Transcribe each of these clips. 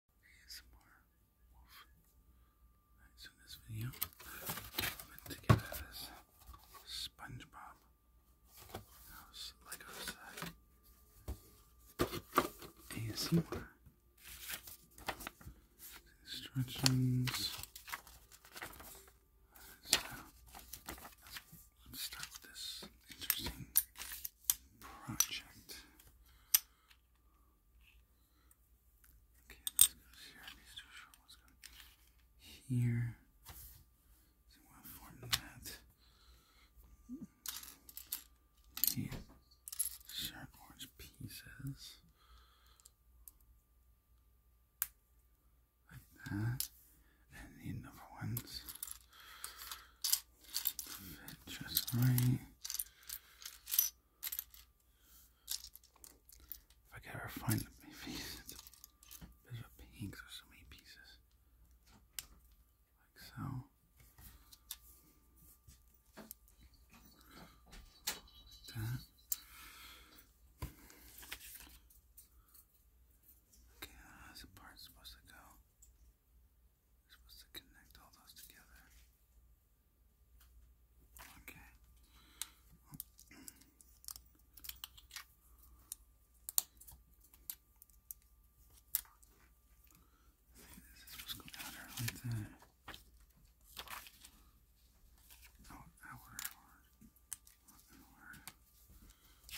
ASMR Wolf. Alright, in this video, I'm putting together this SpongeBob house Lego set. Instructions. So, let's start with this interesting project. Okay, this goes here. I'm just too here. So we'll that. These sharp orange pieces. Like that. And the number ones just right. I could ever find my face, it's a bit there's so many pieces. Like so. Like that. Okay, that's the part supposed to go. We're supposed to connect all those together. Okay. this is supposed to go outer like that. Oh, hour, hour,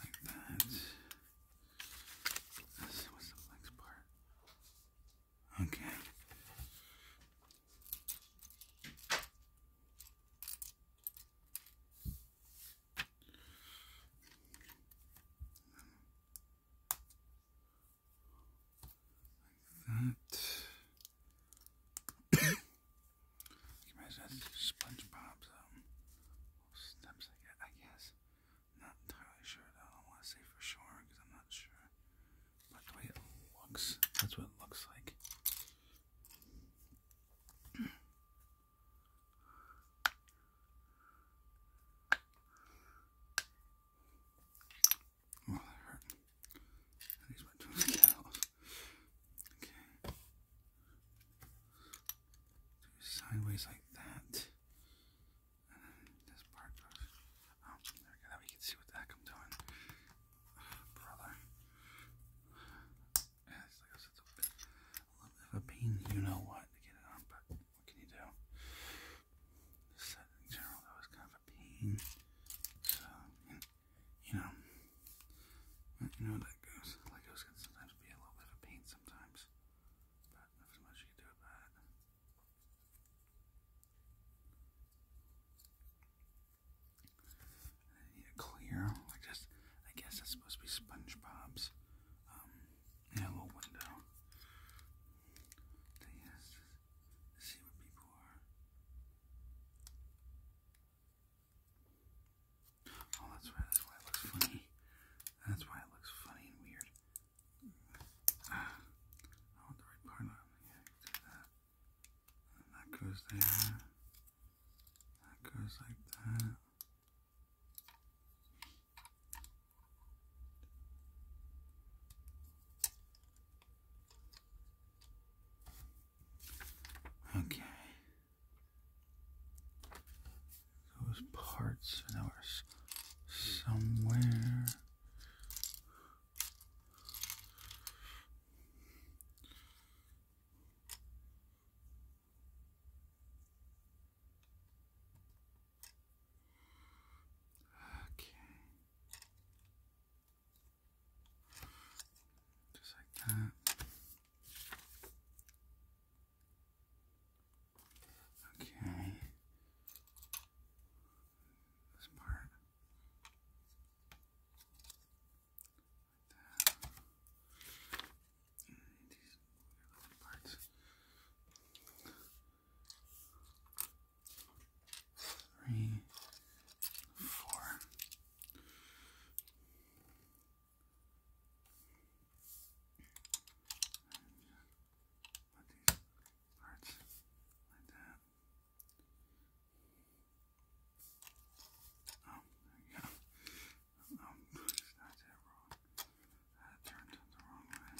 like that. This, what's the flex part? Okay. Like that. you imagine SpongeBob's um, steps I guess. I'm not entirely sure. Though. I don't want to say for sure because I'm not sure. But the way it looks, that's what it looks like. Oh, that hurt. These went to his Okay do sideways like that. this part goes. Oh, there we go. Now we can see what the I'm doing. brother. Yeah, it's like I said, bit, a little bit of a pain, you know what, to get it on, but what can you do? This set in general, though, is kind of a pain. So, you know you know how that goes. Legos can sometimes be a little bit of pain sometimes. But nothing much you do it. Yeah, clear, like just, I guess that's supposed to be SpongeBob's, um, window. Thing see where people are. Oh, that's why, that's why it looks funny. That's why it looks funny and weird. Ah, the right part on. Yeah, do that. And that goes there. That goes like that. Okay. Those parts are now somewhere. Okay. Just like that. Okay. This part. Like that. these little parts. Three, four, Put these parts like that. Oh, there you go. Um, not that wrong. That turned the wrong way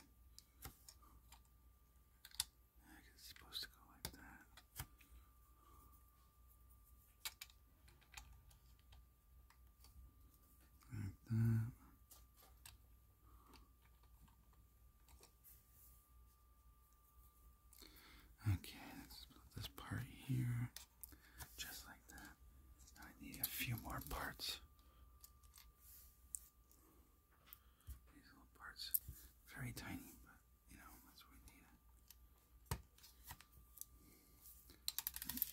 it's supposed to go like that. Like that. Okay, let's put this part here, just like that. I need a few more parts. These little parts, very tiny, but you know, that's what we need.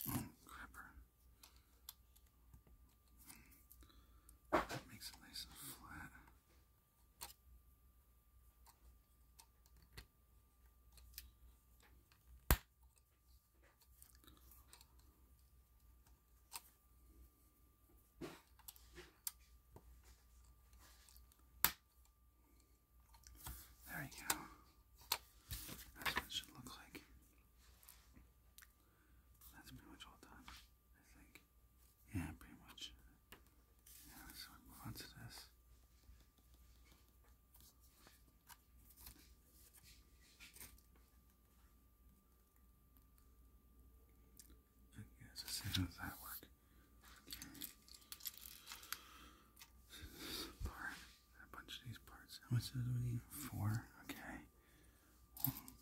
Oh, crapper. That makes it nice and flat. There you go. That's what it should look like. That's pretty much all done, I think. Yeah, pretty much. Yeah, so we move on to this. Okay, us see how does that work? Okay. This a bunch of these parts. How much does we Four. Okay. One,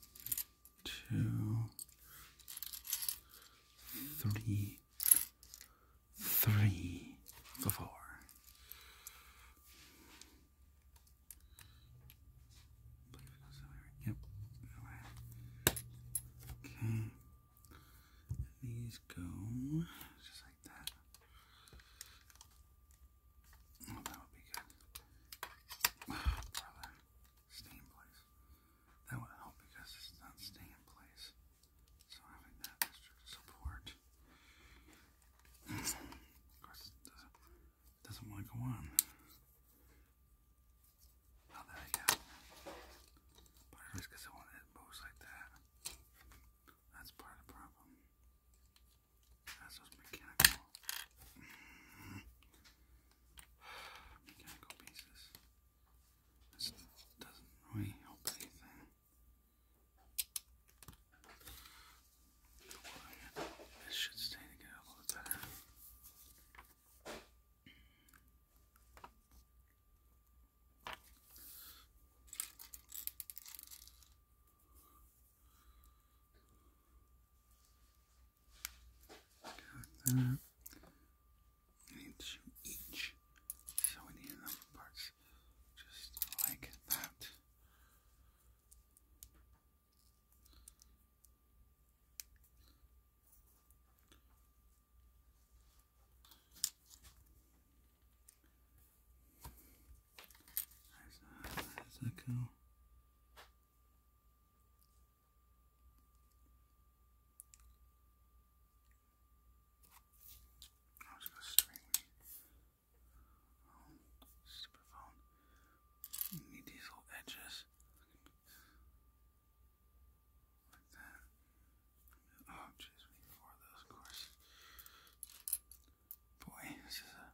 two, three, three, four. Yep. Okay. these go just like that. Oh, that would be good. Oh, brother. Stay in place. That would help because it's not staying in place. So having that extra support doesn't want to go on. Oh, there you go. But at least it, moves like that. That's part of the problem. That's just mechanical. mechanical pieces. This doesn't really help anything. This should stay together a little better. Got that. We each, so we need enough parts just like that. There's that. that go. I was going to string stupid phone. need these little edges. Like that. Oh, jeez, need four of those, of course. Boy, this is a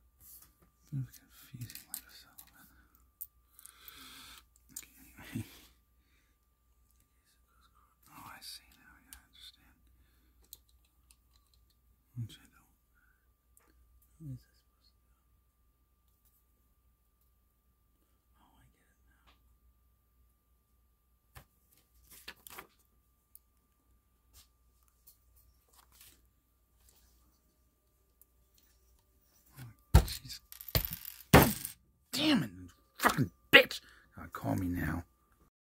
confusing like a settlement. Oh, I see now. Yeah, I understand and shadow. How is this supposed to go? Oh, I get it now. Damn it, fucking bitch! call me now.